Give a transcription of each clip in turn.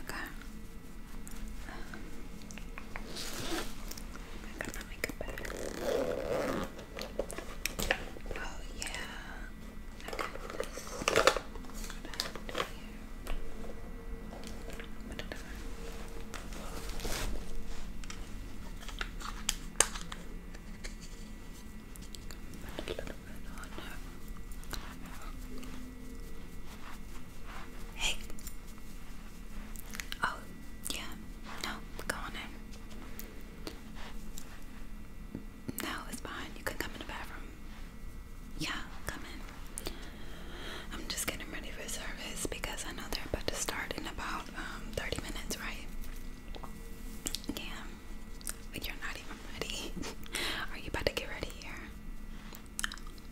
Acá. Me encanta mi cabello. Oh, yeah. I got this right here. Whatever. a little bit on Hey. Oh, yeah. No, go on in. No, it's fine. You can come in the bathroom. Yeah, come in. I'm just getting ready for service because I know they're about to start in about um, 30 minutes, right? Yeah, but you're not even ready. Are you about to get ready here?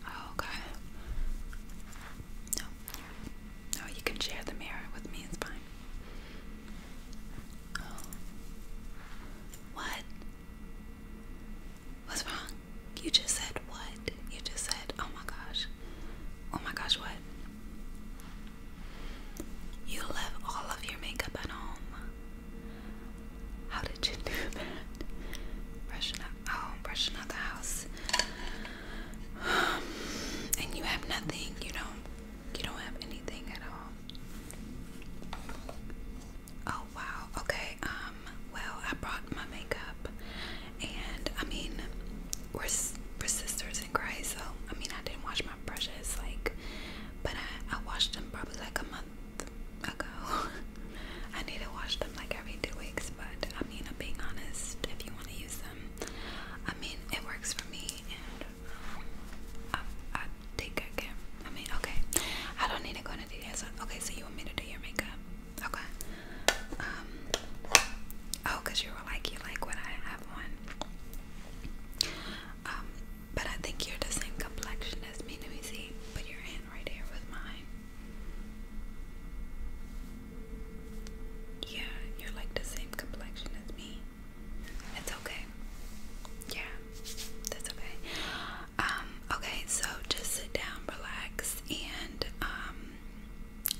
Oh, okay. No, no, you can share the mirror with me, it's fine. Oh. What? What's wrong? You just said what? You just said, oh my gosh. Oh my gosh, what? You left all of your makeup at home. How did you do that? Brushing up, oh, brushing out the house. and you have nothing, you don't, you don't have anything at all. Oh wow, okay, um, um, well, I brought my makeup, and I mean, we're, sisters in Christ, so I mean, I didn't wash my brushes, like, but I, I washed them probably like a month ago. I need to wash them like every two weeks, but I mean, I'm being honest, if you want to use them, I mean, it works for me, and I, I think I can. I mean, okay, I don't need to go into So Okay, so you want me to do your makeup? Okay. Um. Oh, cause you were like, you like what I have on. Um, but I think you're the same complexion as me. Let me see. Put your hand right here with mine. Yeah, you're like the same complexion as me. It's okay. Yeah, that's okay. Um, okay, so just sit down, relax, and um,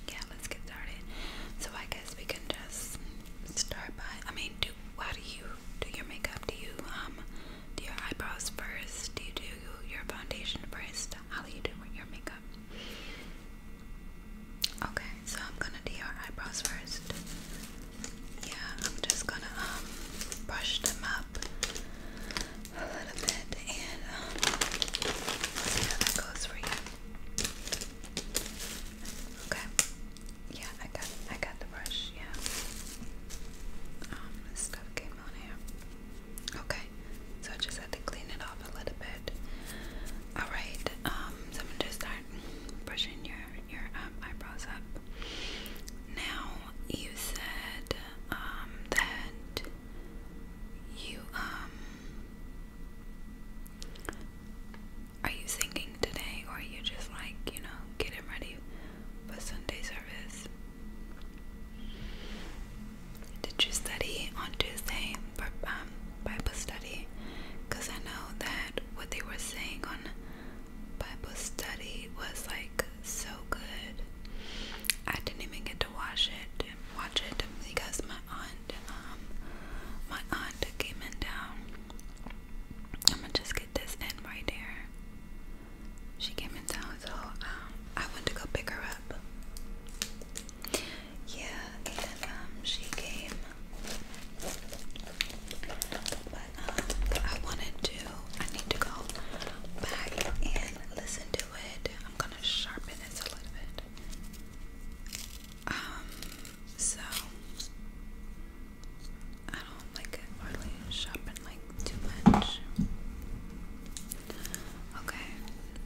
yeah, let's get started. So I guess we can just start by. I mean, do why do you do your makeup? Do you um do your eyebrows first? Do you do your foundation first? How do you do your makeup? Okay, so I'm gonna do your eyebrows first. Yeah, I'm just gonna um brush them up a little bit, and um, see how that goes for you. Okay. Yeah, I got, I got the brush. Yeah. Um, this stuff came on here. Okay. So I just had to clean it off a little bit. All right. Um, so I'm gonna just start brushing your your um, eyebrows up. Now you said um that you um are you singing today or are you just like, you know, getting ready for Sunday service? Did you study on Tuesday for um, Bible study? Because I know that what they were saying on Bible study was like so good. I didn't even get to wash it watch it because my aunt um my aunt came in town. I'm gonna just get this in right there. She came in town so um I wanted to go pick her up. Yeah, and um she came but um I wanted to I need to go back and listen to I'm gonna sharpen this a little bit. Um, so I don't like hardly sharpen like too much. Okay,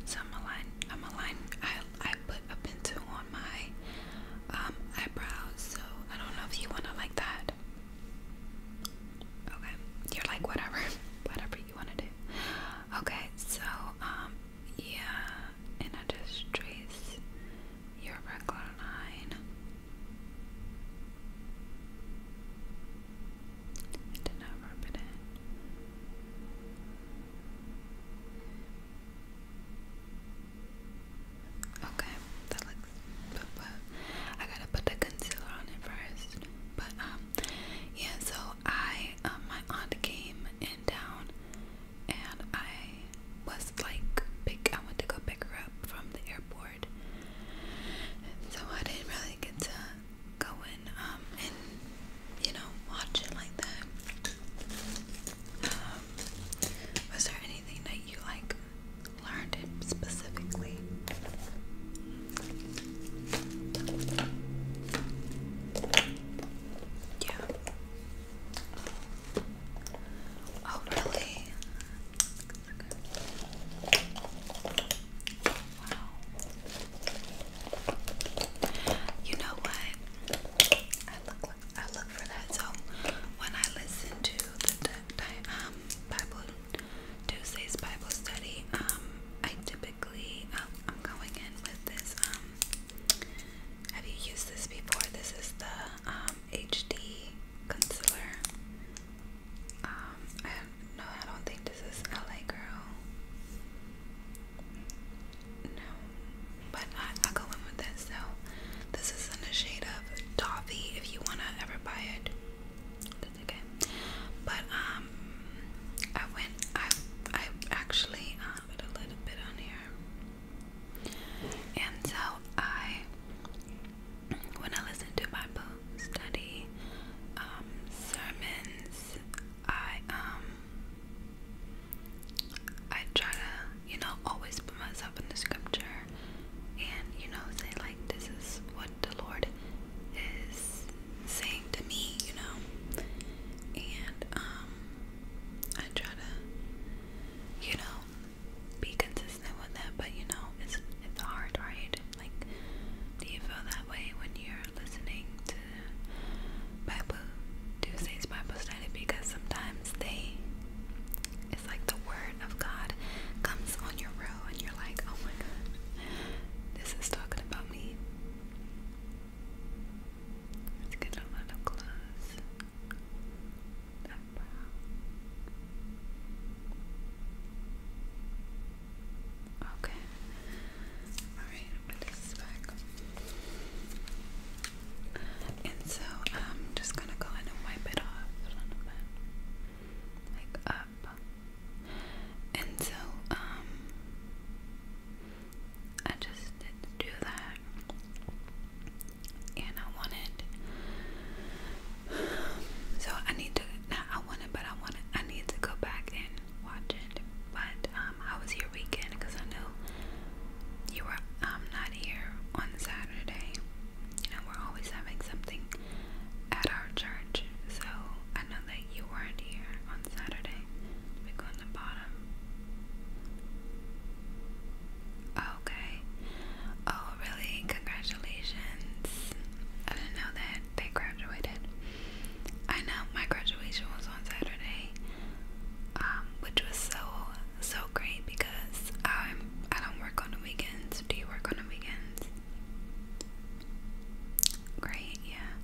so I'm align. I'm align. I I put a pencil on my um eyebrows, so I don't know if you wanna like that. Okay, you're like whatever, whatever you want to do. Okay, so um, yeah, and I just trace your regular line. I did not rub it in. Okay, that looks. But, but I gotta put the concealer on it first. But um, yeah. So I, um, my aunt came in town, and I was like, pick. I went to go pick her up from the airport, so I didn't really get to go in, um, and you know, watch it like that. Um, was there anything that you like learned it specifically. Yeah. Oh, really? Wow. You know what? I look for that. So when I listen to the um, Bible Tuesday's Bible study. Um, I typically um, I'm going in with this. Um, have you used this before? This is the um, HD concealer. Um, no, I don't think this is LA Girl. No, but I, I go in with this. So this is in the shade of toffee. If you wanna ever buy it, okay. But um, I went. I I actually uh, put a little bit on here, and so I when I listen to Bible study um sermons, I um I try to you know always put myself in the scripture and you know say like this is what what the Lord is saying to me, you know. And um I try to, you know, be consistent with that, but you know, it's it's hard, right? Like do you feel that way when you're listening to Bible Tuesday's Bible study? Because sometimes they it's like the word of God comes on your and you're like, oh my god, this is talking about me. Let's get a little close. Okay. Alright, i this back. And so I'm um, just gonna go in and wipe it off like up. And so, um, I just did do that. And I wanted, so I need to, not I wanted, but I wanted, I need to go back and watch it. But, um, I was here weekend because I knew you were, um, not here on Saturday. You know, we're always having something at our church. So I know that you weren't here on Saturday. We go on the bottom. Okay. Oh, really? Congratulations. I didn't know that they graduated. I know my graduation was on Saturday, um, which was so so great because I I don't work on the weekends. Do you work on the weekends? Great, yeah.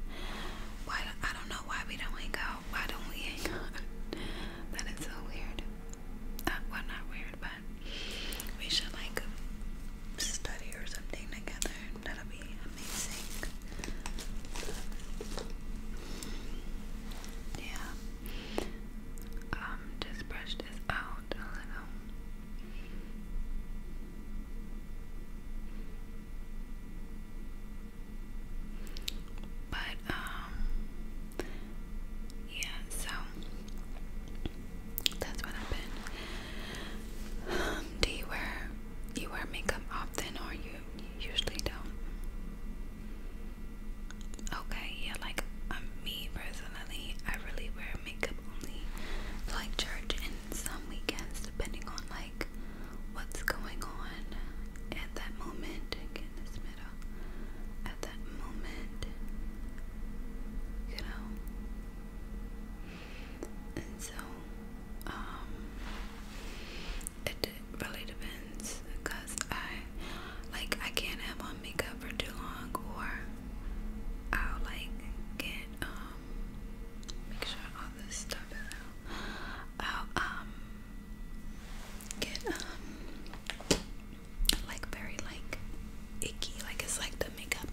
Why I don't know why we don't hang Why don't we that is so weird. Uh, not weird, but we should like study or something together. That'll be amazing. Yeah. Um, just brush this out a little. But, um, yeah, so that's what happened. do you wear you wear makeup often or you, usually don't? Okay, yeah, like um, me personally, I really wear makeup only like church and some weekends depending on like what's going on at that moment. Again, this middle at that moment, you know. And so, um, it really depends because I like I can't have on makeup for too long or I'll like get um make sure all this stuff is out. I'll um get um like very like icky like it's like the makeup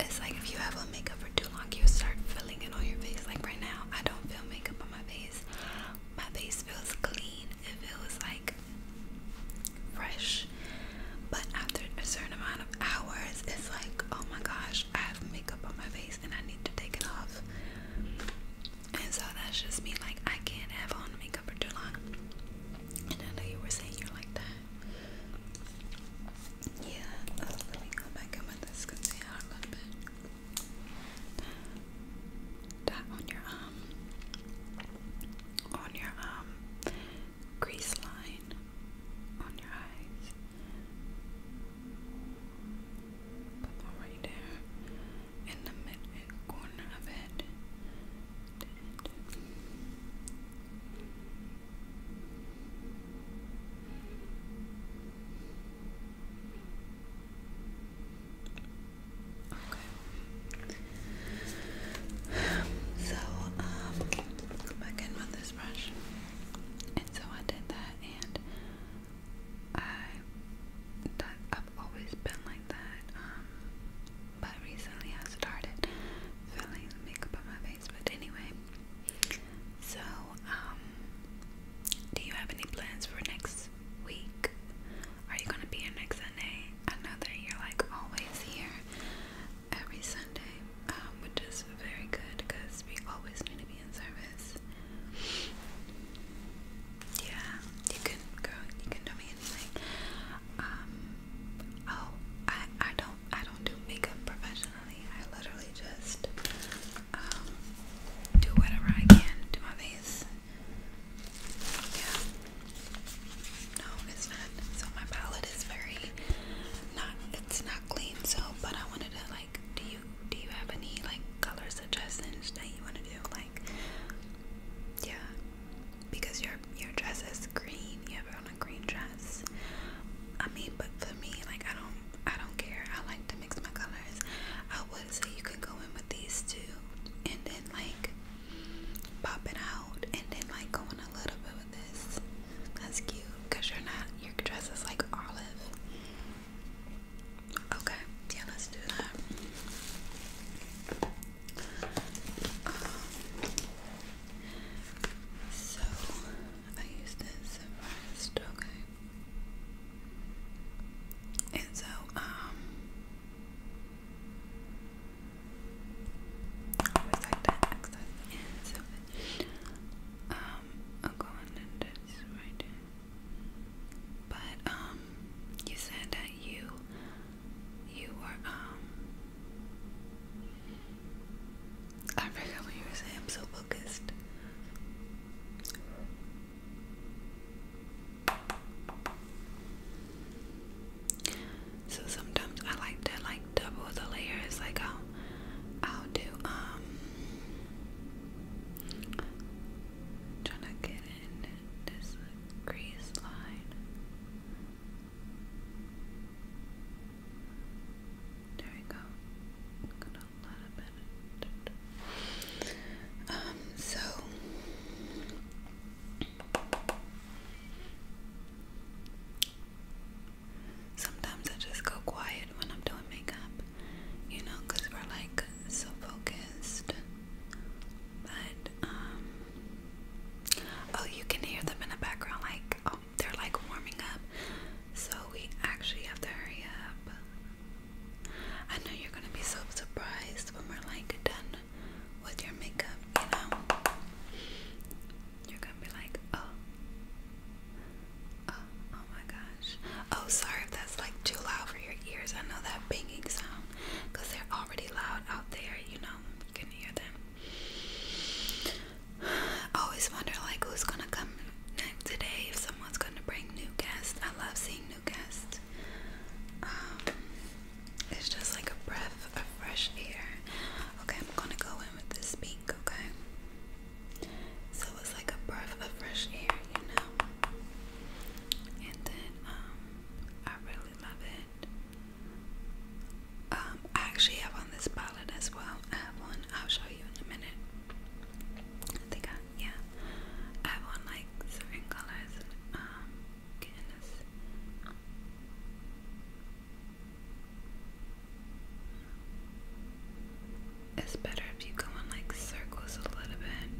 it's like if you have a makeup for too long you start feeling it on your face like right now I don't feel makeup on my face my face feels clean it feels like fresh. But after a certain amount of hours, it's like, oh my gosh, I have makeup on my face and I need to take it off. And so that's just me, like, I can't have on makeup for too long. And I know you were saying you're like Yeah, let me go back in with this concealer a little bit. That on your um, on your um, crease line on your eyes. Put one right there in the mid corner of it. Okay. So, um, go back in this brush. And so I did that, and I, that, I've always been like that, um, but recently I started feeling the makeup on my face, but anyway, so, um, do you have any plans for next week? Are you gonna be here next I know that you're like always here, every Sunday, um, which is very good because we always need to be in service. Yeah, you can go. You can tell me anything. Um, oh, I I don't I don't do makeup professionally. I literally just um, do whatever I can to my face. Yeah. No, it's not. So my palette is very not it's not clean so but I wanted to like do you do you have any like color suggestions that you wanna do? Like yeah. Because your your dress is green, you have on a green dress. I mean but for me like I don't I don't care. I like to mix my colors. I would say you could go in with these two and then like pop it out and then like going a little bit with this. That's cute because you're not your dress is like olive. Okay, yeah, let's do that. Um, so I use this first, okay. And so, um I always like that Yeah, so Um, I'll go on and this right here. But um, you said that you you were um, um. I forgot what you were saying. I'm so focused. So sometimes I like to like double the layers. Like I'll I'll do um trying to get in this crease line. There we go. Got a lot of it. Um, so Sometimes I just go quiet when I'm doing makeup, you know, because we're like so focused. But, um, oh, you can hear them in the background, like, oh, they're like warming up. So we actually have to hurry up. I know you're gonna be so surprised when we're like done with your makeup, you know, you're gonna be like, oh, oh, oh my gosh. Oh, sorry if that's like too loud for your ears. I know that banging sound they're already loud out there, you know, you can hear them. I always wonder, like, who's gonna come next today if someone's gonna bring new guests. I love seeing new guests. Um, it's just like a breath of fresh air. Okay, I'm gonna go in with this pink, okay? So it's like a breath of fresh air, you know? And then, um, I really love it. Um, I actually have on this palette as well. I have one, I'll show you in a minute. I think I, yeah. I have on like certain colors, um, goodness. It's better if you go in like circles a little bit.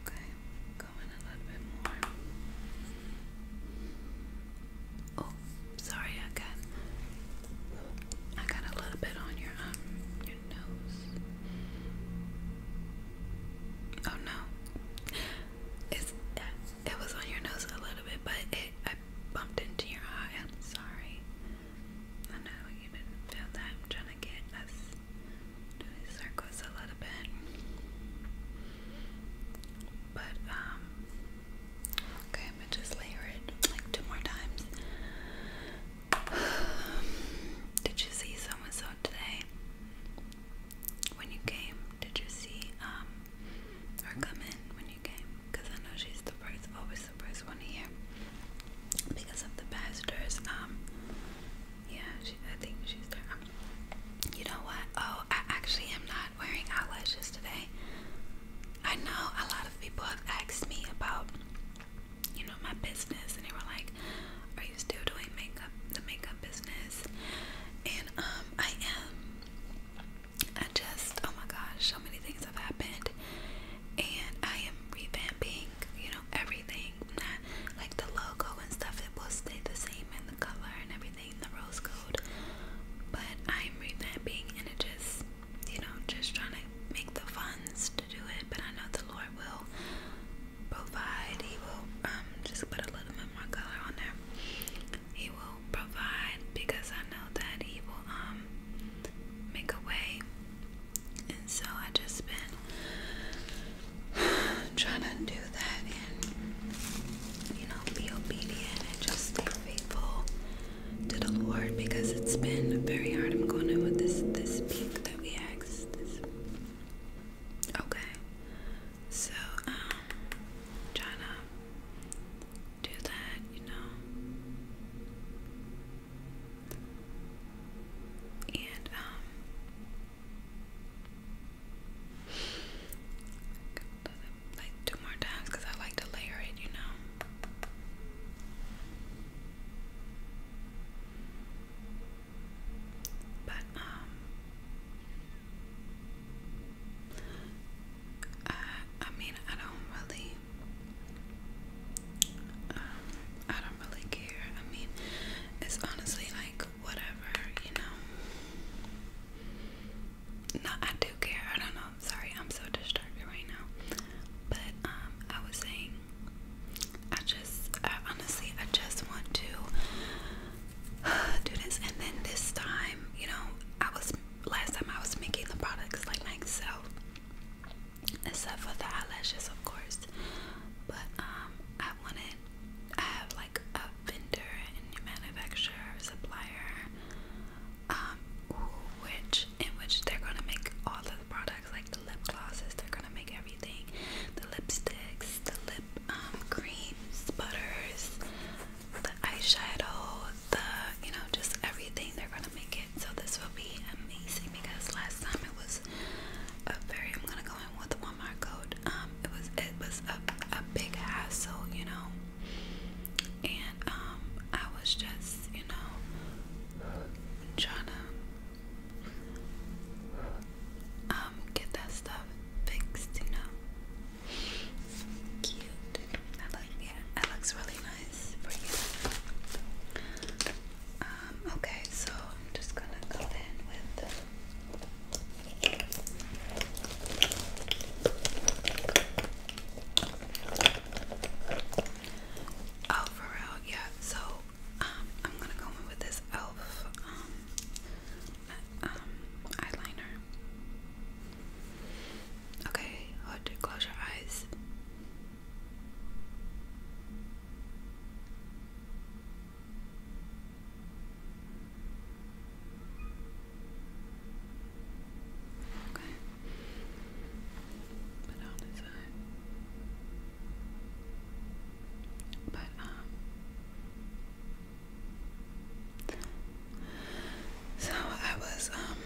Okay, go in a little bit more. Oh, sorry, I got I got a little bit on your um your nose. Oh no. Uh, it was on your nose a little bit, but I bumped into your eye. I'm sorry. I know you didn't feel that. I'm trying to get us to circles a little bit. But um, okay, I'm gonna just layer it like two more times. Did you see someone so today? when you came? Did you see um her come in when you came? Because I know she's the first, always the first one here because of the pastors. Um, yeah, she, I think she's there. Um, you know what? Oh, I actually am not wearing eyelashes today. I know a lot of people have asked me about, you know, my business, and they were like, are you still doing makeup, the makeup business? And um, I am. I just, oh my gosh, so many things have happened, and I am revamping, you know, everything. Not like the logo and stuff; it will stay the same, and the color and everything, in the rose gold. But I'm revamping, and it just, you know, just trying to make the funds to do it. But I know the Lord will provide, he will um just put a little bit more color on there. He will provide because I know that he will um make a way. And so I just been trying to do that and you know be obedient and just stay faithful to the Lord because it's been very hard. I'm going in with this this peak that we asked this Okay. So, um, try to do that, you know. And, um, like two more times because I like to layer it, you know. But um I I mean I don't really um I don't really care. I mean it's honestly like whatever, you know. No, I do care. I don't know. Sorry, I'm so distracted right now. But um I was saying I just, honestly, I just want to do this. And then this time, you know, I was last time I was making the products like myself, except for the eyelashes, of course. But um, I wanted, I have like a vendor and manufacturer, supplier, um, which in which they're gonna make all of the products like the lip glosses. They're gonna make everything, the lipsticks, the lip um, creams, butters, the eyeshadow, the you know, just everything. They're gonna make it so this will be amazing because last time it was a very. I'm gonna go in with the Walmart code. Um, it was it was a a big hassle, you know, and um, I was just you know trying to um get that stuff fixed, you know. Cute. yeah, that looks really nice for you. Um, okay, so I'm just gonna go in with Oh for yeah, so I'm gonna go in with this elf um, um, eyeliner. Okay, oh, close your eyes. Okay. Put on his eye. But, um, so I was, um,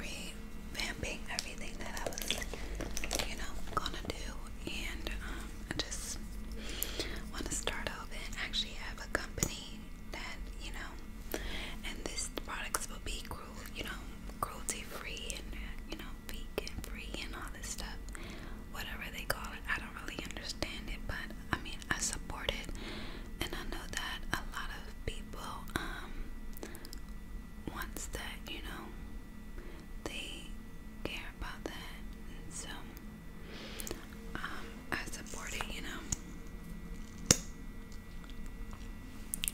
revamping everything that I was, you know, gonna do, and, um, I just want to start off and actually have a company that, you know, and these products will be cool, you know, cruelty free and you know vegan free and all this stuff whatever they call it I don't really understand it but I mean I support it and I know that a lot of people um wants that you know they care about that and so um I support it you know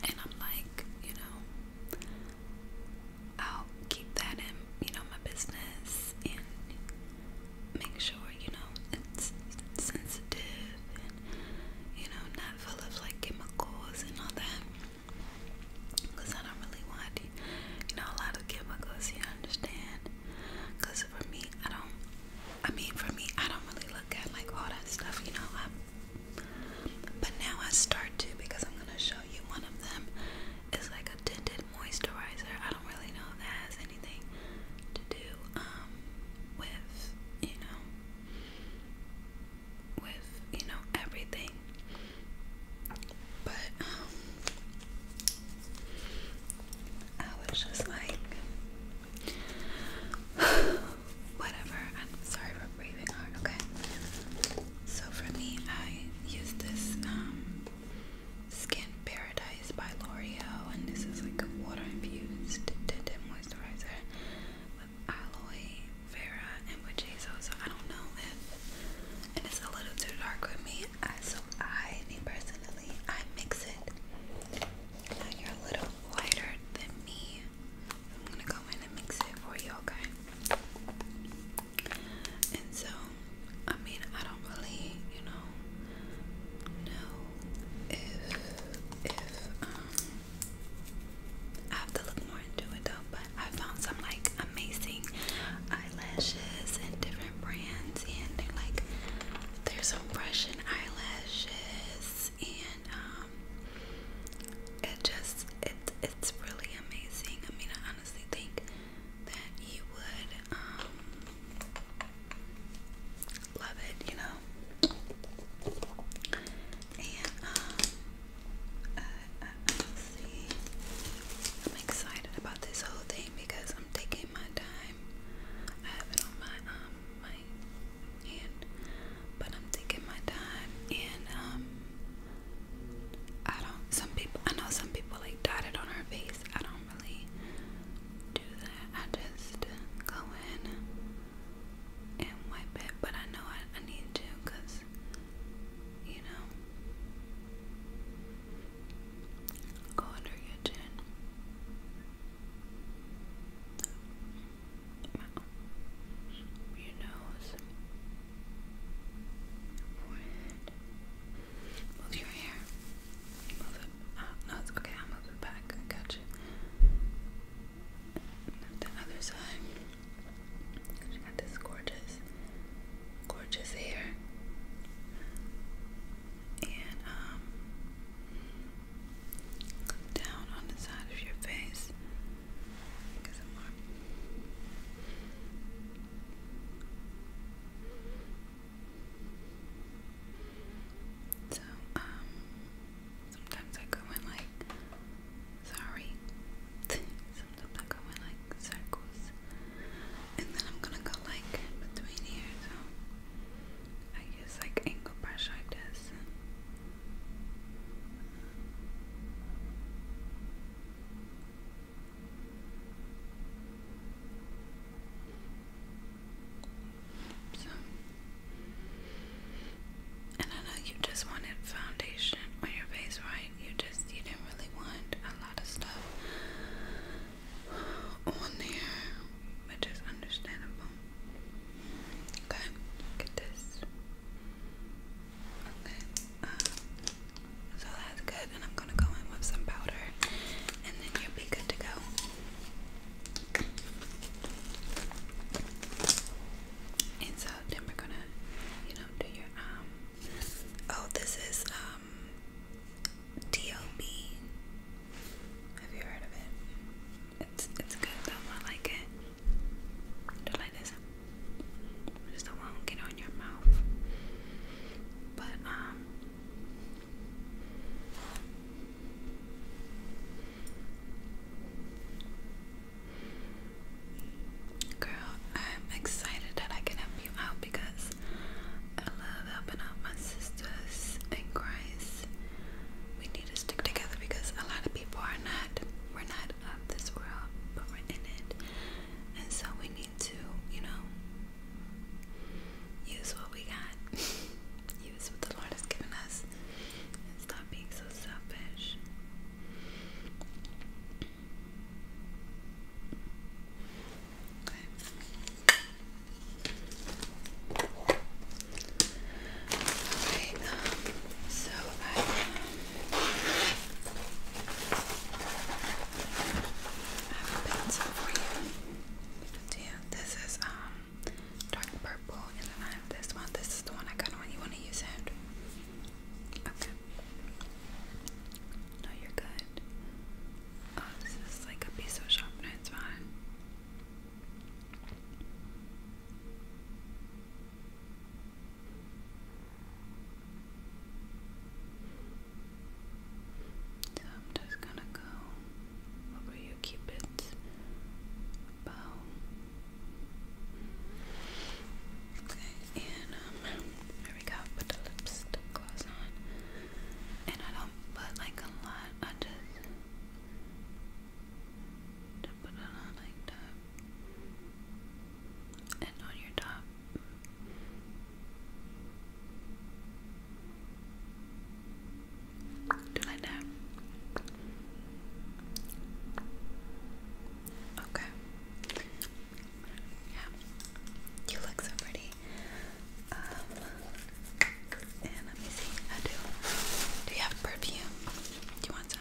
and I'm like, you know, I'll keep that in, you know, my business and make sure, you know, it's sensitive and, you know, not full of like chemicals and all that. Because I don't really want to, you know, a lot of chemicals, you understand? Because for me, I don't, I mean, for me, I don't really look at like all that stuff, you know. I'm but now I start to because I'm gonna show you one of them. It's like a tinted moisturizer. I don't really know if that has anything to do um with you know with you know everything. But um, I was just like whatever. I'm sorry breathing okay? So for me, I use this um, Skin Paradise by L'Oreal, and this is like a water-infused tinted moisturizer with aloe vera and witch hazel. So I don't know if, it's a little too dark with me, so I, me personally, I mix it. you're a little lighter than me. I'm gonna go in and mix it for you, okay? And so, I mean, I don't really, you know, know if if um I have to look more into it though. But I found some like amazing eyelashes and different brands, and they're like there's some Russian eyelashes, and um, it just it it's really amazing. I mean, I honestly think that you would um, love it, you know. And um, I'm excited about this whole thing because I'm taking my time. I have it on my um my hand but I'm taking my time and um, I don't some people I know some people like dot it on her face. I don't really do that. I just go in and wipe it, but I know I, I need to because you know go under your chin your nose, forehead. Move your hair. Move it. Uh, no, it's okay. I'll move back. got you. the other side. You got this gorgeous, gorgeous hair. And um, down on the side of your face. So, um, sometimes I go in like, sorry. sometimes I go in like circles. And then I'm gonna go like between here, so I use like angle brush like this. So, and I know you just wanted foundation on your face, right? You just you didn't really want a lot of stuff on there, which is understandable. Okay, get this. Okay, um, so that's good, and I'm gonna go in with some powder, and then you'll be good to go. And so then we're gonna, you know, do your um. Oh, this is um. DLB. Have you heard of it? It's it's good though. I like it. Just like this. Just don't get on your mouth. But um, girl, I'm excited that I can help you out because I love helping out my sisters in Christ. We need to stick together because a lot of people are not. We're not of this world, but we're in it. And so we need to, you know, use what we got, use what the Lord has given us, and stop being so selfish. Okay so I have a pencil for you. Yeah, this is um dark purple, and I have this one. This is um, the one um, um, I got on. You want to use it? Okay. No, you're good. Oh, this is like a piece sharpener. It's fine. So I'm just gonna go over your cupid's bow. Okay, and um, here we go. Put the lipstick gloss on, and I don't put like a lot. I just put it on like that and on your top. Do like that. Okay. Yeah. You look so pretty. Um, and let me see. I do. Do you have perfume? Do you want some?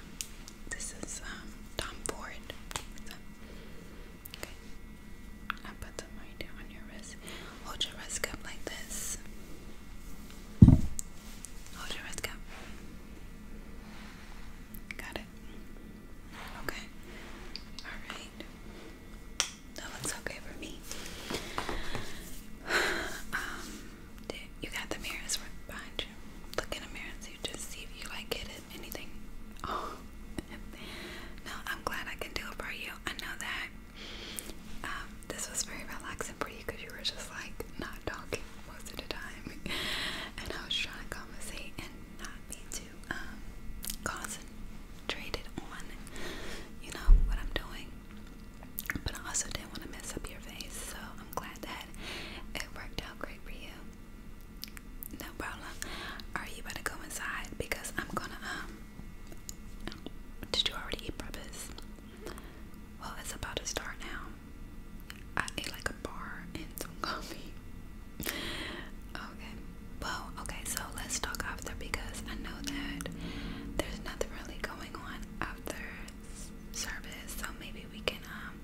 This is um, Tom Ford. Okay. i put them right on your wrist. Hold your wrist cup like this. Hold your wrist cup. Got it. Okay. Alright. That looks okay for me. Um, you got the mirrors right behind you. Look in the mirrors. so you just see if you like it anything. Oh no, I'm glad I can do it for you. I know that um, this was very relaxing for you because you were just like not talking most of the time, and I was trying to conversate and not be too um, concentrated on you know what I'm doing. But I also didn't want to mess up your face, so I'm glad that it worked out great for you. No problem. Are you about to go inside? Because I'm gonna, um, did you already eat breakfast? Well, it's about to start now. I ate like a bar and some coffee. okay. Well, okay, so let's talk after because I know that there's nothing really going on after service, so maybe we can um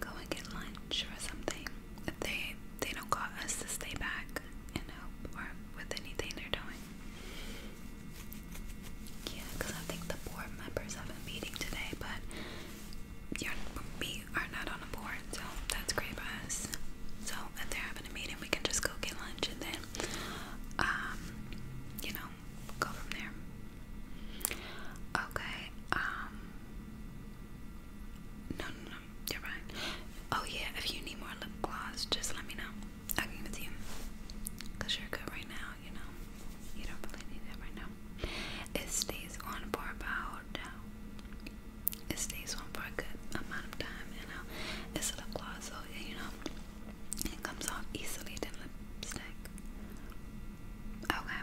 go and get lunch or something. If they they don't call us to stay back and help or with anything they're doing. Yeah, because I think the board members have a meeting today, but you we are not on the board, so that's great for us. So if they're having a meeting, we can just go get lunch and then, um, you know, go from there. Okay, um, no no you're right. Oh yeah, if you need more lip gloss, just let me know. I can give it you. Cause you're good right now, you know. You don't really need it right now. It stays on for about it stays on for a good amount of time, you know. It's lip gloss, so yeah, you know. It comes off easily than lipstick. Okay.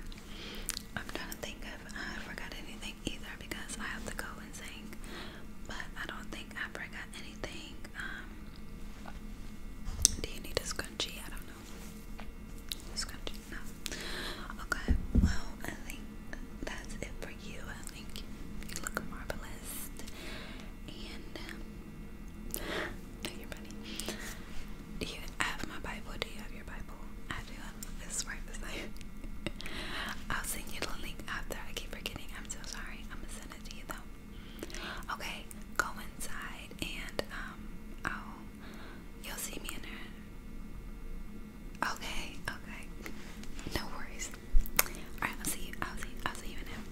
I'm trying to think if I forgot anything either because I have to go and sing. But I don't think I forgot anything. Um do you need a scrunchie? I don't know. scrunchie? No. Okay, well I think that's it for you. I think you look marvelous. And um, do you have my Bible? Do you have your Bible? I do. This right beside I'll send you the link after. I keep forgetting. I'm so sorry. I'm gonna send it to you though. Okay, go inside and um, I'll you'll see me in there. Okay, okay. No worries. All right, I'll see you. I'll see. I'll see you in there.